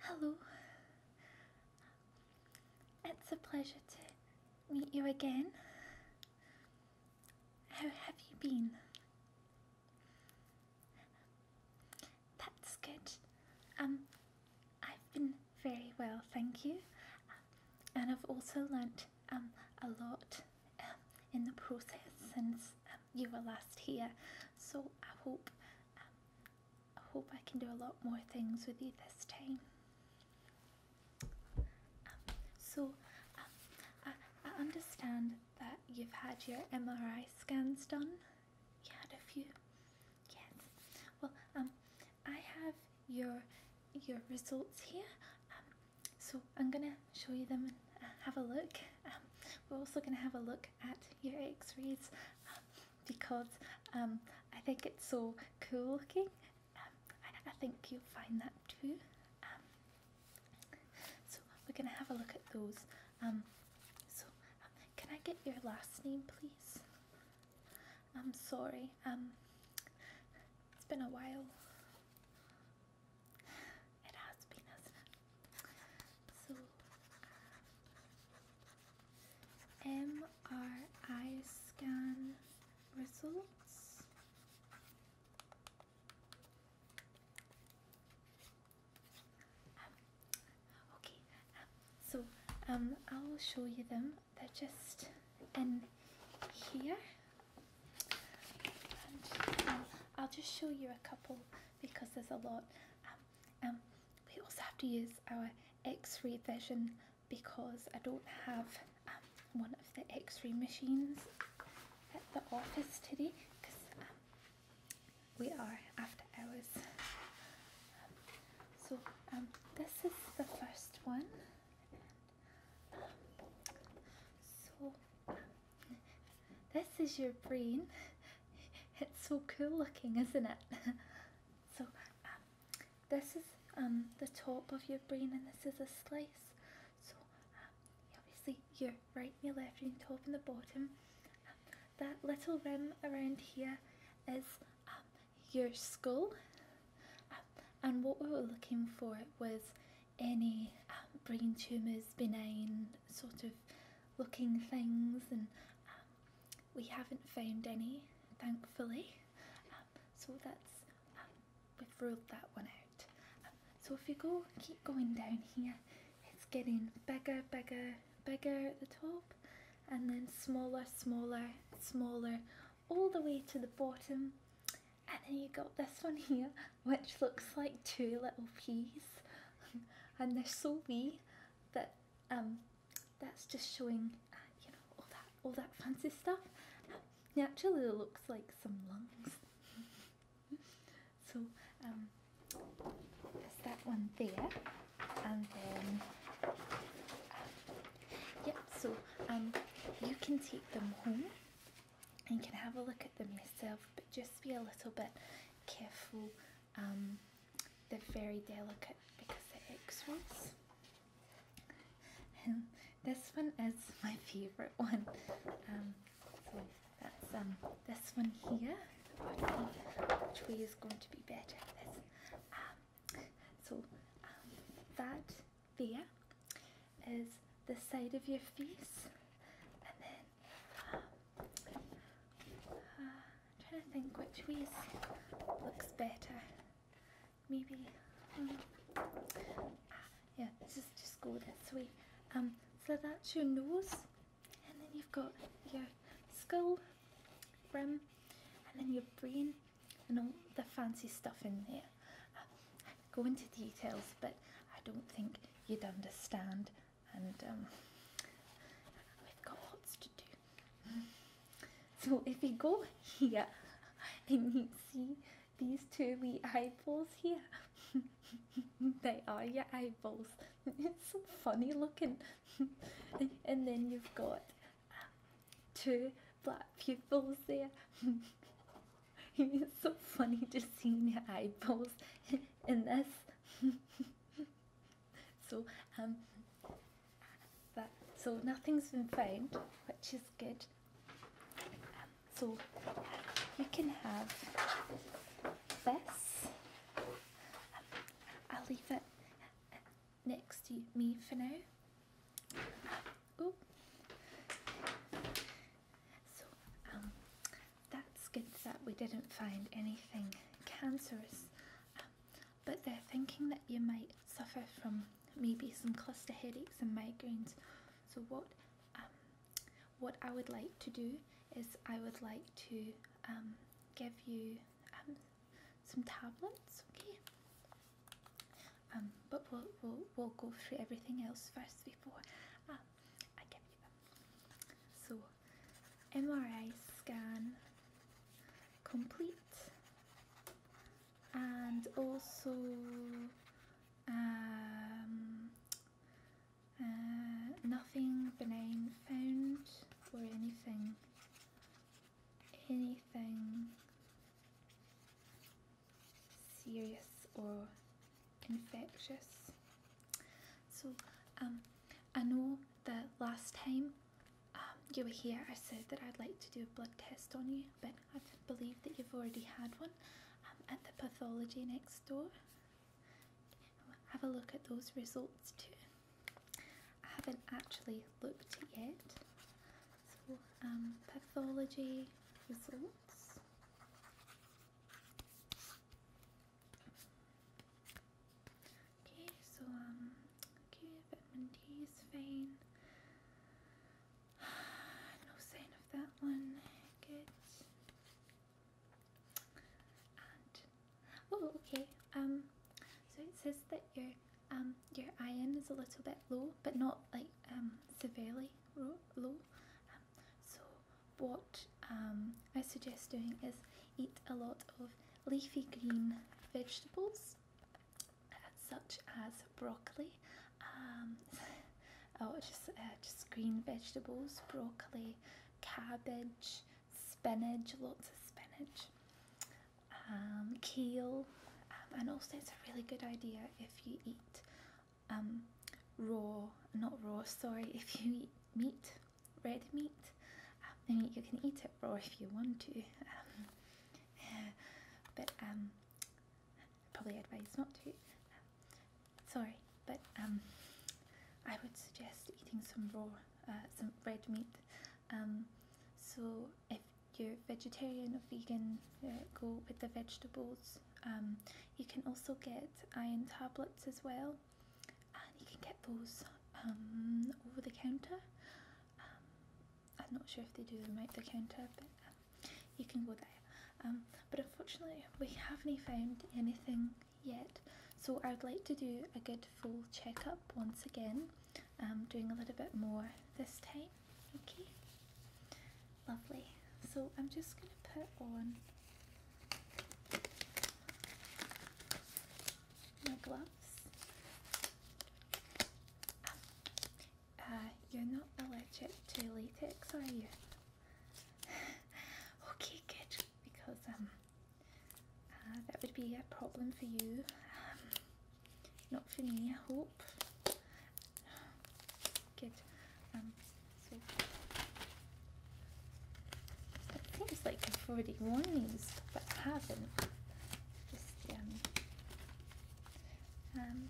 Hello. It's a pleasure to meet you again. How have you been? That's good. Um, I've been very well, thank you. And I've also learnt um, a lot um, in the process since um, you were last here. So I hope um, I hope I can do a lot more things with you this time. Um, so, um, I, I understand that you've had your MRI scans done. You had a few. Yes. Well, um, I have your your results here. Um, so I'm gonna show you them and uh, have a look. we're also gonna have a look at your X-rays because um, I think it's so cool looking um, I think you'll find that too. Um, so we're going to have a look at those. Um, so um, can I get your last name please? I'm sorry, um, it's been a while. It has been, so, MRI scan results. Um, okay, um, so um, I'll show you them. They're just in here. Um, I'll just show you a couple because there's a lot. Um, we also have to use our X-ray vision because I don't have um, one of the X-ray machines at the office today because um, we are after hours. so this is the first one. so this is your brain it's so cool looking, isn't it? so um, this is um, the top of your brain, and this is a slice. So um, obviously your right and your left brain, top and the bottom. Um, that little rim around here is your skull. and what we were looking for was any brain tumours, benign sort of looking things, and we haven't found any, thankfully. Um, so that's um, we've ruled that one out. Um, so if you go keep going down here, it's getting bigger, bigger, bigger at the top, and then smaller, smaller, smaller, all the way to the bottom. And then you got this one here, which looks like two little peas, and they're so wee that um, that's just showing, uh, you know, all that all that fancy stuff. Naturally, It looks like some lungs. so um, there's that one there, and then um, yep. So um, you can take them home and you can have a look at them yourself, but just be a little bit careful. Um, they're very delicate because they're x-rays and this one is my favorite one um, so that's um, this one here which way is going to be better um, so um, that there is the side of your face and then uh, I'm trying to think which way looks better. Maybe, um, ah, yeah, just, just go this way. Um, so that's your nose, and then you've got your skull, brim, and then your brain, and all the fancy stuff in there. Uh, go into details, but I don't think you'd understand and um, we've got lots to do. So if you go here and you see these two wee eyeballs here, they are your eyeballs. It's so funny looking. and then you've got um, two black pupils there. it's so funny just seeing your eyeballs in this. so um that so nothing's been found which is good um, so you can have this um, I'll leave it next to me for now oh so um that's good that we didn't find anything cancerous um, but they're thinking that you might suffer from maybe some cluster headaches and migraines. So what um, what I would like to do is I would like to um, give you um, some tablets, okay? but we'll, we'll, we'll go through everything else first before uh, I give you them. So MRI scan complete and also um, uh, nothing benign found or anything anything serious or infectious so um, I know the last time um, you were here, I said that I'd like to do a blood test on you, but I believe that you've already had one um, at the pathology next door. Have a look at those results too. I haven't actually looked yet. Um, pathology results. Okay, so um, okay, vitamin D is fine. No sign of that one. Good. And oh, okay. Um, so it says that your um your iron is a little bit low, but not like um severely low. Um, so what um I suggest doing is eat a lot of leafy green vegetables uh, such as broccoli. Um, oh, just, uh, just green vegetables, broccoli, cabbage, spinach, lots of spinach, um, kale. Um, and also it's a really good idea if you eat um, raw, not raw, sorry, if you eat meat red meat. Um, I mean, you can eat it raw if you want to, um, uh, but um, probably advise not to. sorry, but um, I would suggest eating some raw, uh, some red meat. Um, so if you're vegetarian or vegan, uh, go with the vegetables. Um, you can also get iron tablets as well and you can get those um, over the counter. Um, I'm not sure if they do them out the counter, but um, you can go there. Um, but unfortunately, we haven't found anything yet, so I'd like to do a good full checkup once again. Um, doing a little bit more this time. Okay, lovely. So I'm just going to put on my gloves. Uh, you're not allergic to latex, are you? okay, good, because um, uh, that would be a problem for you. Um, not for me, I hope. Good. Um, it seems like I've already worn these, but I haven't. Just, um, um,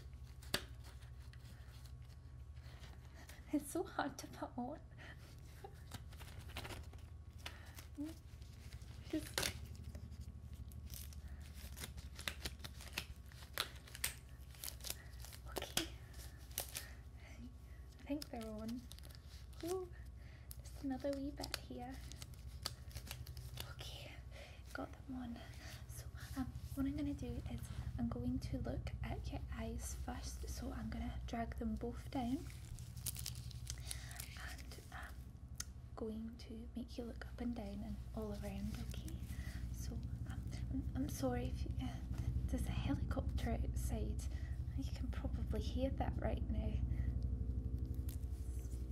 it's so hard to put on. Okay. I think they're on. Ooh, there's another wee bit here. Okay, got them on. So um, what I'm gonna do is I'm going to look at your eyes first. So I'm gonna drag them both down and I'm um, going to make you look up and down and all around. Okay. So um, I'm, sorry if you, uh, there's a helicopter outside. You can probably hear that right now.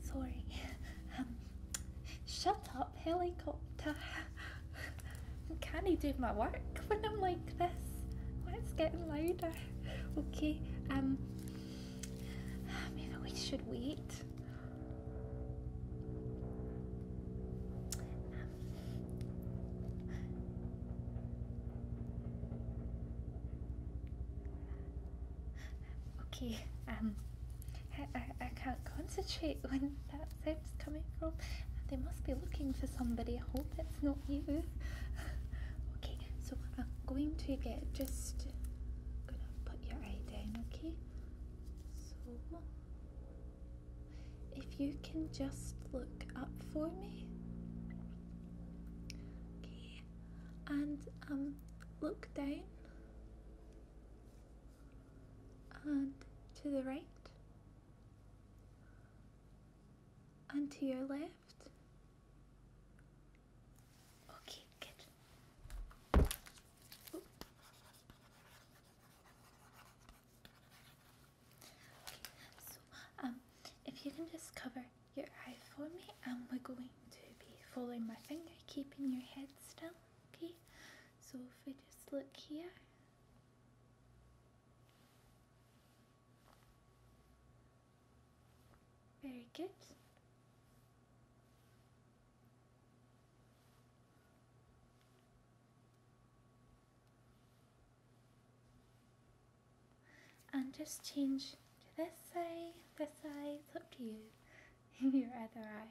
sorry. Um, shut up, helicopter. Can I do my work when I'm like this? Why it's getting louder? Okay, um, maybe we should wait. Um, Okay, um, I, I, I can't concentrate when that sound's coming from. They must be looking for somebody. I hope it's not you. okay, so I'm going to get just gonna put your eye down, okay? If you can just look up for me. Okay. And um look down and to the right and to your left. Okay, good so um, if you can just cover your eye for me, and um, we're going to be following my finger, keeping your head still, okay? So if we just look here. Very good and just change to this side, this side, up to you, your other eye,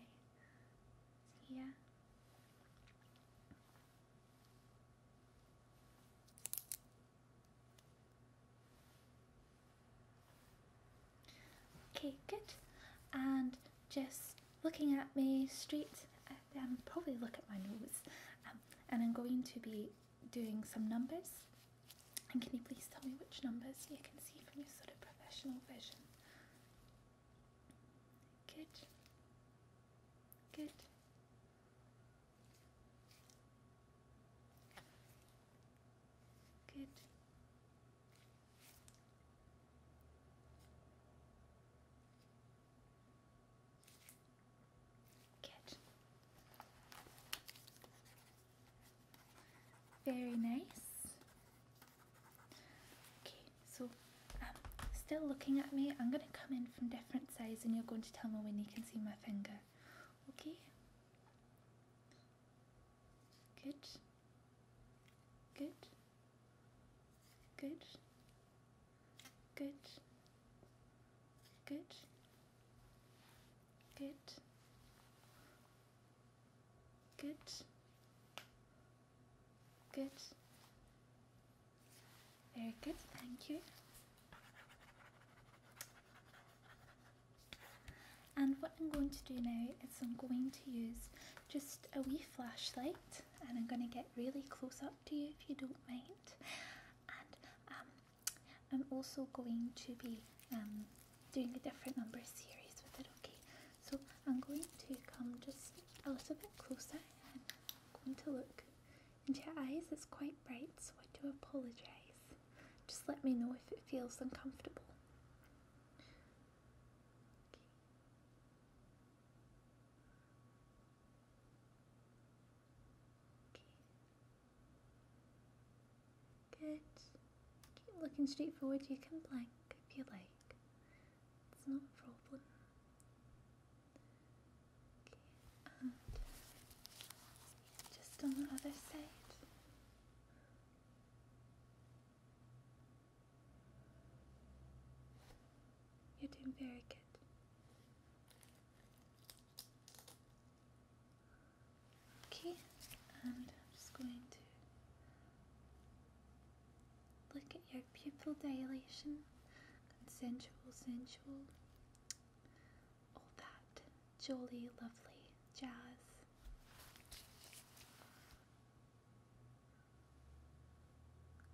yeah. Okay, good. And just looking at me straight, and um, probably look at my nose. Um, and I'm going to be doing some numbers. And can you please tell me which numbers you can see from your sort of professional vision? Good. Good. Good. Good. Very nice. Okay, so um, still looking at me. I'm going to come in from different sides and you're going to tell me when you can see my finger. Okay? Good. Good. Good. Good. Good. Good. Good. Good. Very good, thank you. And what I'm going to do now is I'm going to use just a wee flashlight and I'm going to get really close up to you if you don't mind and um, I'm also going to be um, doing a different number series with it, okay? So I'm going to come just a little bit closer and I'm going to look into your eyes. It's quite bright, so I do apologise. Just let me know if it feels uncomfortable. Good. Keep looking straight forward. You can blink if you like. It's not a problem. Okay. just on the other side. You're doing very good. Okay, and I'm just going to look at your pupil dilation, consensual, sensual, all that jolly, lovely jazz.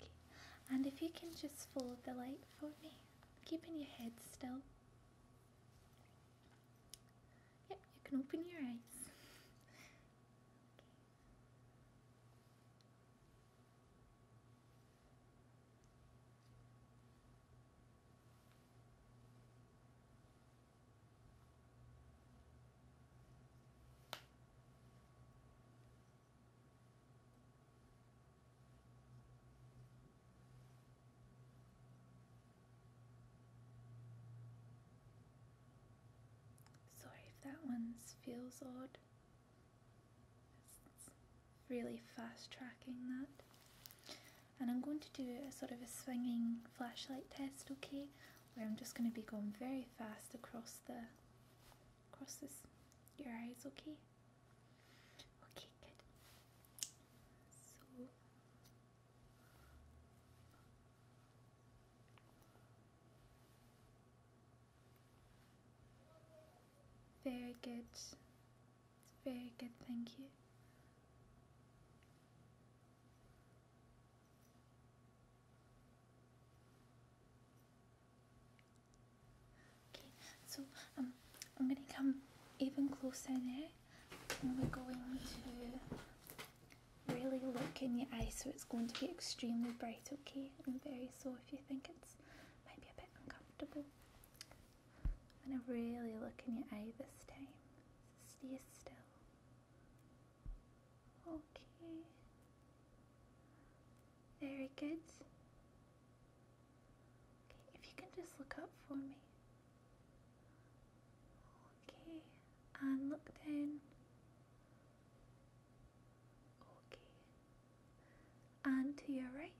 Okay, and if you can just fold the light for me keeping your head still. Yep, you can open your eyes. Sorry if that one feels odd. really fast tracking that. And I'm going to do a sort of a swinging flashlight test, okay? Where I'm just going to be going very fast across the across this your eyes, okay? Okay, good. So very good. Very good, thank you. Okay, so um, I'm gonna come even closer now, and we're going to really look in your eye. so it's going to be extremely bright, okay, and very so if you think it's maybe a bit uncomfortable. I'm gonna really look in your eye this time. Stay still. Okay. Very good. Okay, if you can just look up for me. Okay, and look down. Okay, and to your right,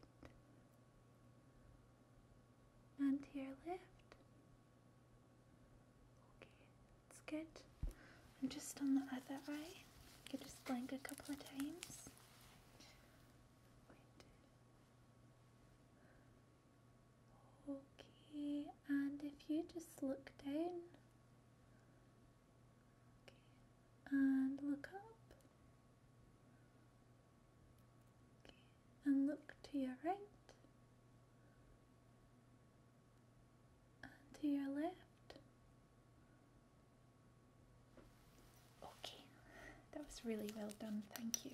and to your left. Okay, that's good. And just on the other eye, you just blink a couple of times. Okay, and if you just look down and look up and look to your right and to your left Okay, that was really well done, thank you.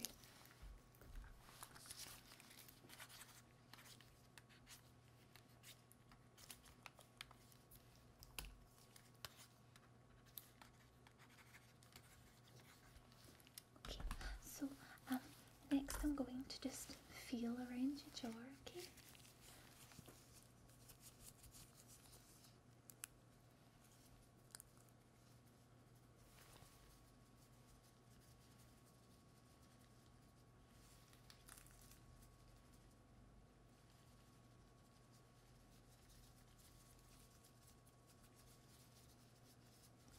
Okay, so um, next I'm going to just feel around your jaw, okay?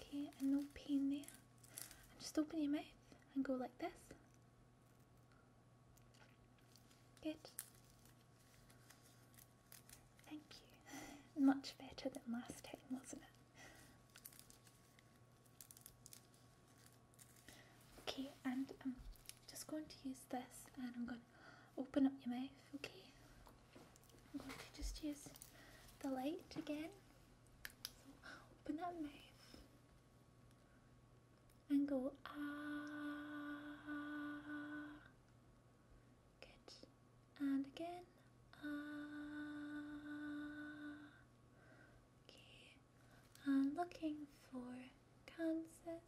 Okay, and no pain there. just open your mouth and go like this. Good. Thank you. Much better than last time, wasn't it? Okay, and I'm just going to use this and I'm going to open up your mouth, okay? I'm going to just use the light again. So open that mouth and go ah. And again. Ah. Okay. And looking for Kansas.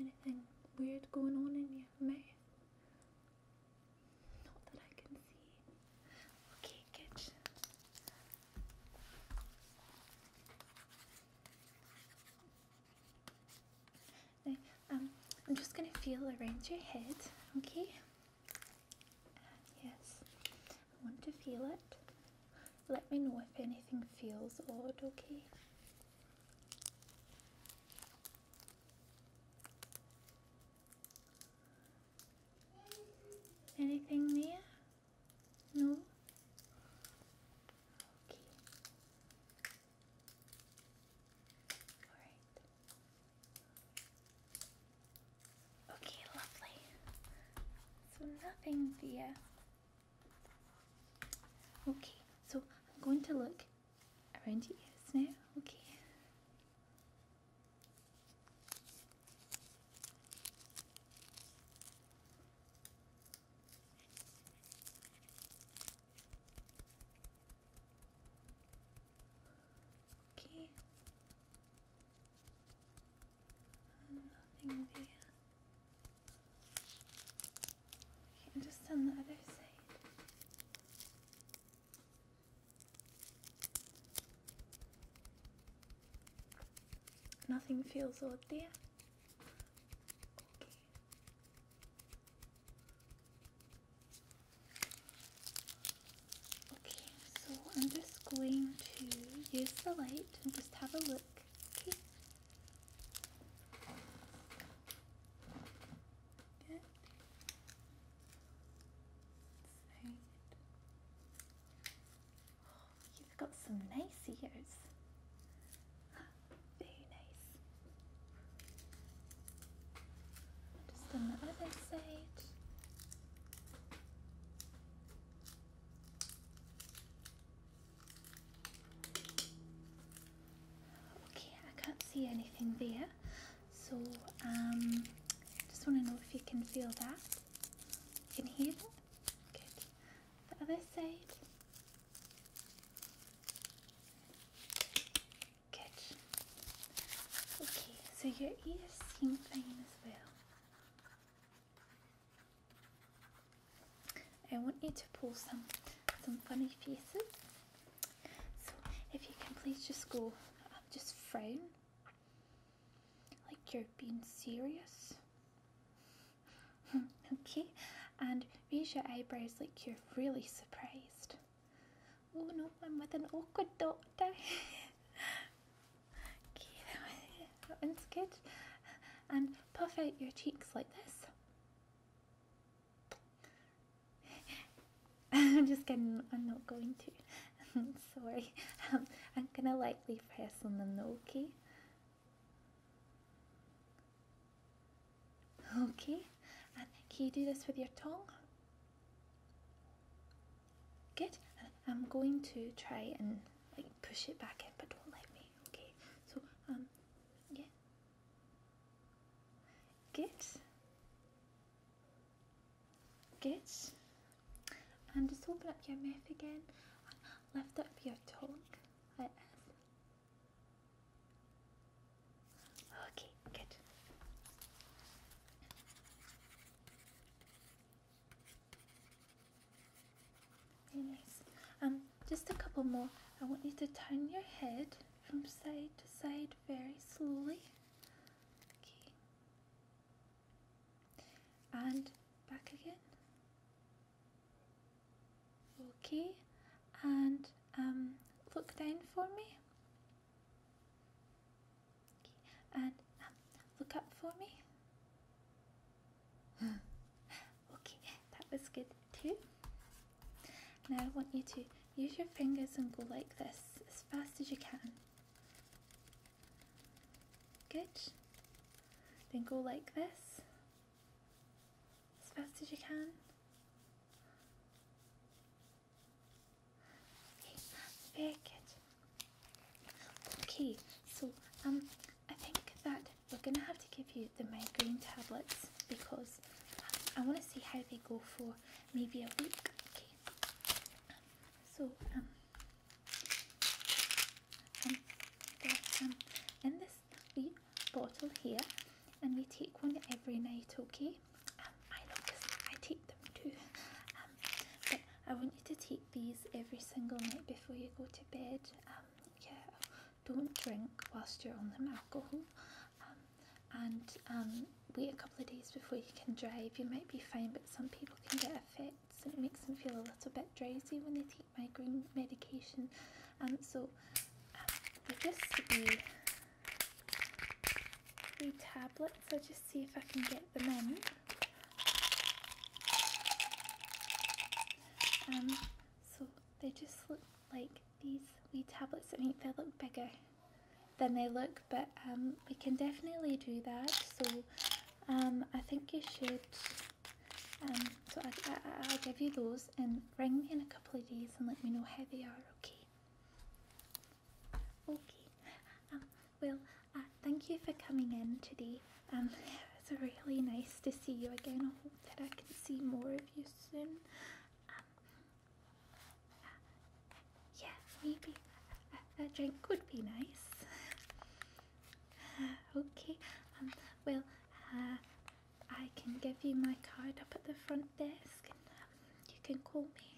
Anything weird going on in your mouth? Not that I can see. Okay, good. Um, I'm just going to feel around your head, okay? Yes, I want to feel it. Let me know if anything feels odd, okay? Anything there? No? Okay. Alright. Okay, lovely. So nothing there. Okay, so I'm going to look around your ears now. Okay. Okay. Nothing there. just on the other side. Nothing feels odd there. Okay, so I'm just going to use the light and just have a look. Okay. Good. Very you've got some nice ears. Very nice. Just on the other side. Okay, I can't see anything there. So, um, just want to know if you can feel that. can hear it? the other side. Good. Okay, so your ears seem fine as well. I want you to pull some some funny faces. So if you can please just go, um, just frown, like you're being serious. okay, and raise your eyebrows like you're really surprised. Oh no, I'm with an awkward doctor. okay, that good. And puff out your cheeks like this. I'm just kidding, I'm not going to. Sorry, I'm gonna lightly press on them, okay? Okay, can you do this with your tongue? Good. I'm going to try and like push it back in, but don't let me. Okay. So um, yeah. Good. Good. And just open up your mouth again. And lift up your tongue. Okay, good. Very nice. Um, just a couple more. I want you to turn your head from side to side very slowly. Okay. And back again. Okay, and um, look down for me. And um, look up for me. okay, that was good too. Now I want you to use your fingers and go like this as fast as you can. Good. Then go like this as fast as you can. Okay, very good. Okay, so um, I think that we're gonna have to give you the migraine tablets because um, I want to see how they go for maybe a week. Okay, so um, um, but, um, this bottle here and we take one every night okay um, I love this I take them too um, but I want you to take these every single night before you go to bed um, yeah don't drink whilst you're on them alcohol and wait a couple of days before you can drive you might be fine but some people can get effects and it makes them feel a little bit drowsy when they take migraine medication. Um, so um, there be tablets. i just see if I can get them in. Um, so they just look like these wee tablets. I mean, they look bigger than they look, but um, we can definitely do that. So um, I think you should um, so I, will give you those and ring me in a couple of days and let me know how they are, okay? Okay. Um, well, uh, thank you for coming in today. Um, it's really nice to see you again. I hope that I can see more of you soon. Um, uh, yeah, maybe a, drink would be nice. Uh, okay. Um, well, uh, I can give you my card up at the front desk and um, you can call me.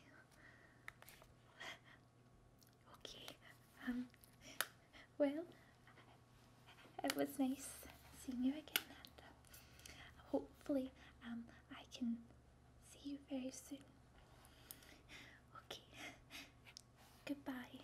okay, um, well, it was nice seeing you again and um, hopefully um, I can see you very soon. Okay, goodbye.